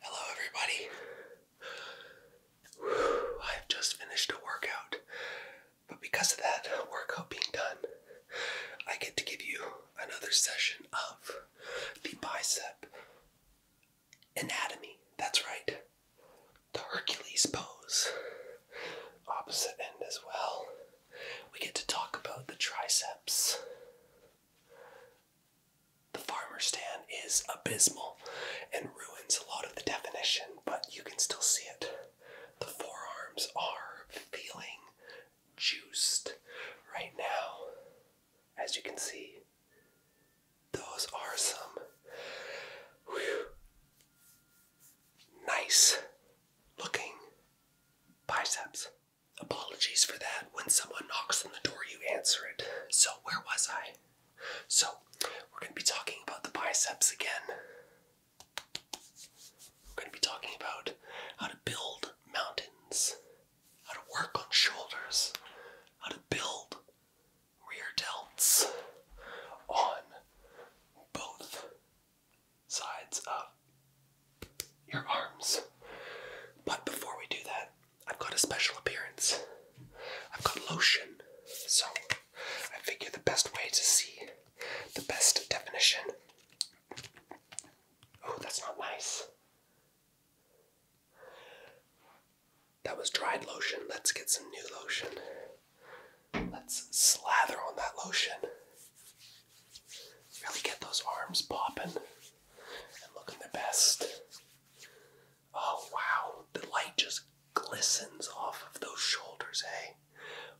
Hello, everybody. I've just finished a workout, but because of that workout being done, I get to give you another session of the bicep anatomy. That's right, the Hercules pose. Opposite end as well. We get to talk about the triceps. The farmer stand is abysmal and ruins a lot of the definition, but you can still see it. The forearms are feeling juiced right now. As you can see, those are some nice looking biceps. Apologies for that. When someone knocks on the door, you answer it. So, where was I? So, we're going to be talking about the biceps again. We're going to be talking about how to build mountains, how to work on shoulders, how to build rear delts on both sides of your arms. But before we do that, I've got a special appearance. I've got lotion. So I figure the best way to see the best definition. Oh, that's not nice. That was dried lotion. Let's get some new lotion. Let's slather on that lotion. Really get those arms popping and looking their best. Oh wow, the light just glistens off of those shoulders, Hey,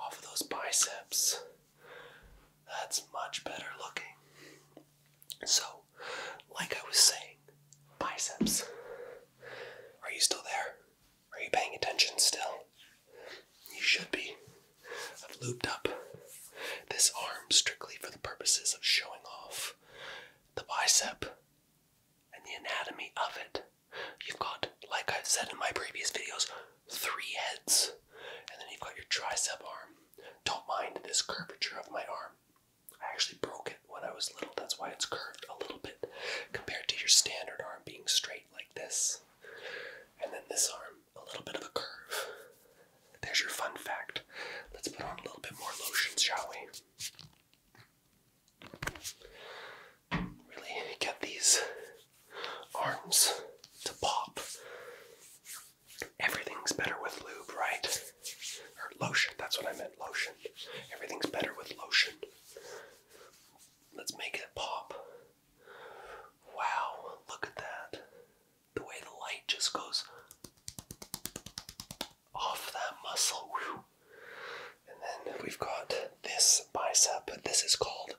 Off of those biceps. That's much better looking. So, like I was saying, biceps. Are you still there? Are you paying attention still? You should be. I've looped up this arm strictly for the purposes of showing off the bicep and the anatomy of it. You've got, like I've said in my previous videos, three heads, and then you've got your tricep arm. Don't mind this curvature of my arm. I actually broke it when I was little, that's why it's curved a little bit compared to your standard arm being straight like this. And then this arm, a little bit of a curve. There's your fun fact. Let's put on a little bit more lotion, shall we? Really get these arms to pop. Everything's better with lube, right? Or lotion, that's what I meant, lotion. Everything's better with lotion. Let's make it pop. Wow, look at that. The way the light just goes off that muscle. And then we've got this bicep. This is called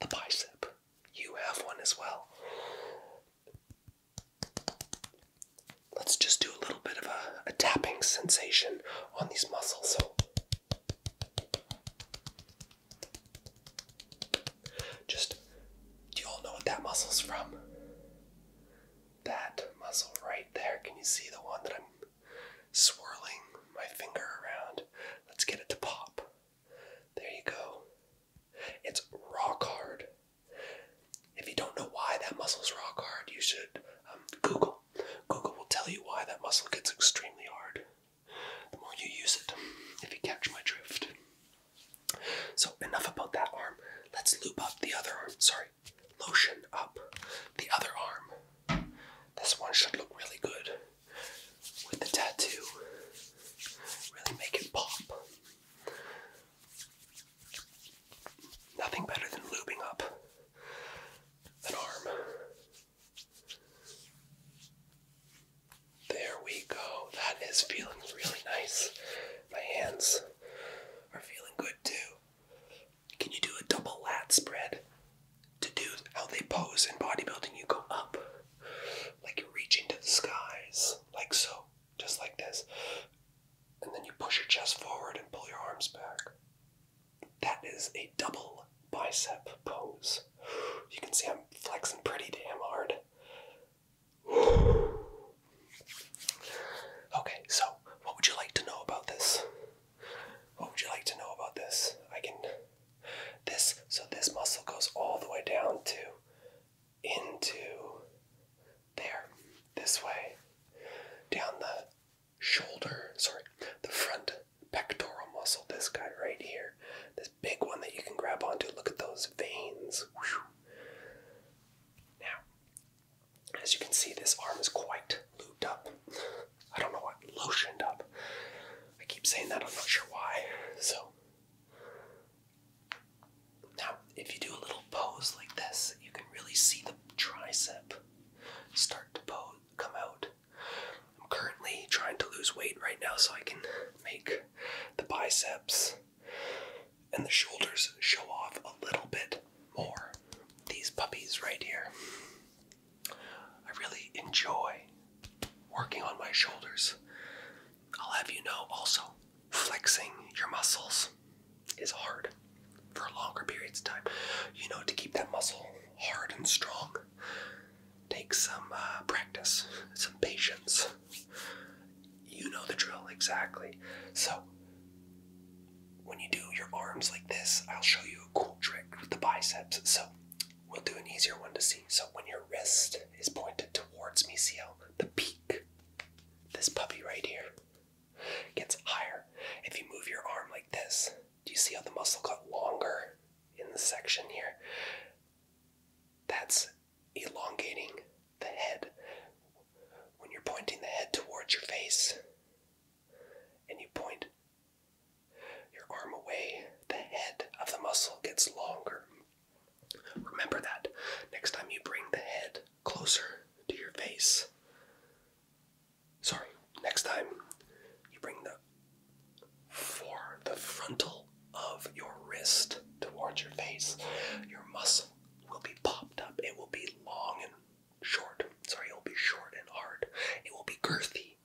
the bicep. You have one as well. Let's just do a little bit of a, a tapping sensation on these muscles. Just, do you all know what that muscle's from? That muscle right there. Can you see the one that I'm swirling my finger around? Let's get it to pop. There you go. It's rock hard. If you don't know why that muscle's rock hard, you should um, Google. Google will tell you why that muscle gets extremely hard the more you use it, if you catch my drift. So, enough about that arm. Let's loop up the other arm. Sorry, lotion up the other arm. This one should look really good with the tattoo. Really make it pop. Nothing better than lubing up an arm there we go. That is feeling really nice. My hands are feeling good too. Can you do a double lat spread? To do how they pose in bodybuilding, you go up like you're reaching to the skies, like so, just like this. And then you push your chest forward and pull your arms back. That is a double bicep pose. You can see I'm flexing pretty damn hard. Okay, so what would you like to know about this? What would you like to know about this? I can this so this muscle goes all the way down to into there. This way. Down the shoulder, sorry, the front pectoral muscle, this guy right here, this big one that you can grab onto. Look at those veins. Now, as you can see, this arm is quite looped up. I don't know what, lotioned up. I keep saying that, I'm not sure why. So, now if you do a little pose like this, you can really see the tricep start to pose come out. I'm currently trying to lose weight right now so I can make the biceps and the shoulders show off a little bit more. These puppies right here. I really enjoy working on my shoulders. I'll have you know also, flexing your muscles reps is hard for longer periods of time. You know, to keep that muscle hard and strong takes some uh, practice, some patience. You know the drill exactly. So, when you do your arms like this, I'll show you a cool trick with the biceps. So, we'll do an easier one to see. So, when your wrist is pointed towards me, see how the peak, this puppy right here, gets higher. If you move your arm like this, do you see how the muscle got longer in the section here? That's elongating the head. When you're pointing the head towards your face and you point your arm away, the head of the muscle gets longer. Remember that next time you bring the head closer to your face. Sorry, next time you bring the for the frontal of your wrist towards your face, your muscle will be popped up. It will be long and short. Sorry, it will be short and hard. It will be girthy.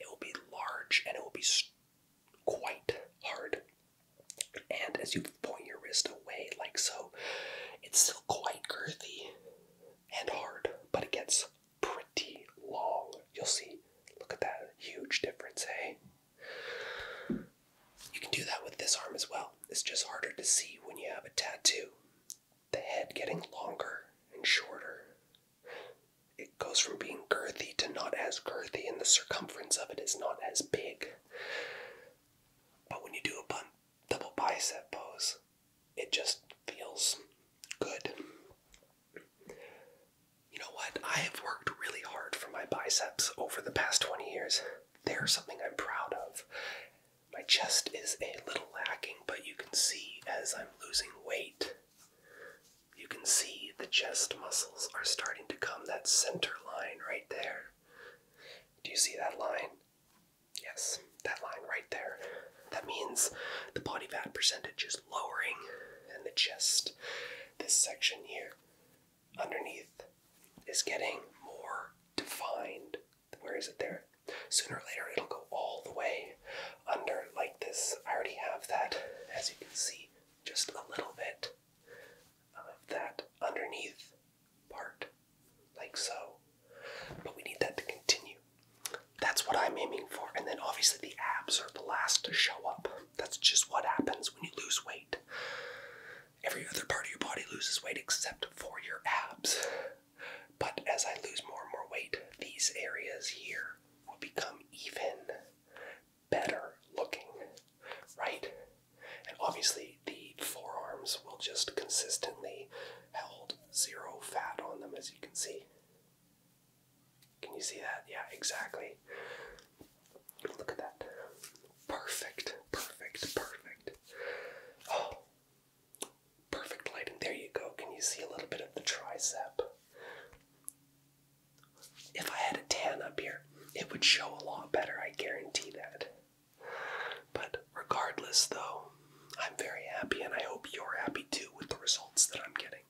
It will be large and it will be quite hard. And as you point your wrist sliced like so. It's still quite girthy and hard, but it gets pretty long. You'll see. Look at that huge difference, hey? Eh? You can do that with this arm as well. It's just harder to see when you have a tattoo. The head getting longer and shorter. It goes from being girthy to not as girthy, and the circumference of it is not as big. But when you do a bun double bicep pose. It just feels good. You know what? I have worked really hard for my biceps over the past 20 years. They're something I'm proud of. My chest is a little lacking, but you can see as I'm losing weight, you can see the chest muscles are starting to come that center line right there. Do you see that line? Yes, that line right there. That means the body fat percentage is lowering, and the chest, this section here underneath, is getting more defined. Where is it there? Sooner or later, it'll go all the way under like this. I already have that, as you can see, just a little bit of that underneath part, like so. But we need that to continue. That's what I'm aiming for. And then obviously the abs are the last to show up. That's just what happens when you lose weight. Every other part of your body loses weight except for your abs. But as I lose more and more weight, these areas here will become even better looking, right? And obviously, the forearms will just consistently hold zero fat on them, as you can see. Can you see that? Yeah, exactly. Look at that. Perfect, perfect, perfect. Oh, perfect lighting. There you go. Can you see a little bit of the tricep? If I had a tan up here, it would show a lot better, I guarantee that. But regardless, though, I'm very happy and I hope you're happy too with the results that I'm getting.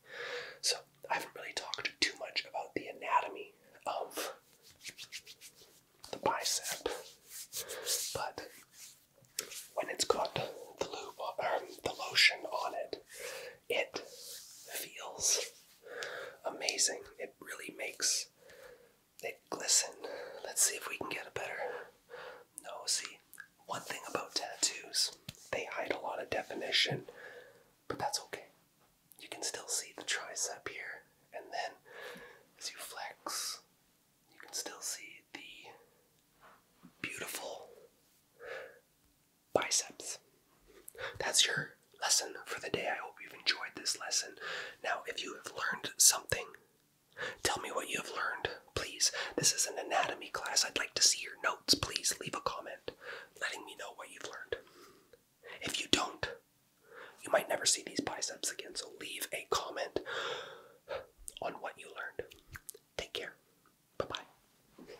So, I haven't really talked too much about the anatomy of the bicep, but when it's got the lube, um, the lotion on it, it feels amazing. It really makes it glisten. Let's see if we can get a better. No, see, one thing about tattoos, they hide a lot of definition, but that's okay. You can still see the tricep here, and then as you flex, you can still see the beautiful biceps. That's your lesson for the day. I hope you've enjoyed this lesson. Now, if you have learned something, tell me what you have learned, please. This is an anatomy class. I'd like to see your notes. Please leave a comment letting me know what you've learned. If you don't, you might never see these biceps again, so leave a comment on what you learned. Take care. Bye bye.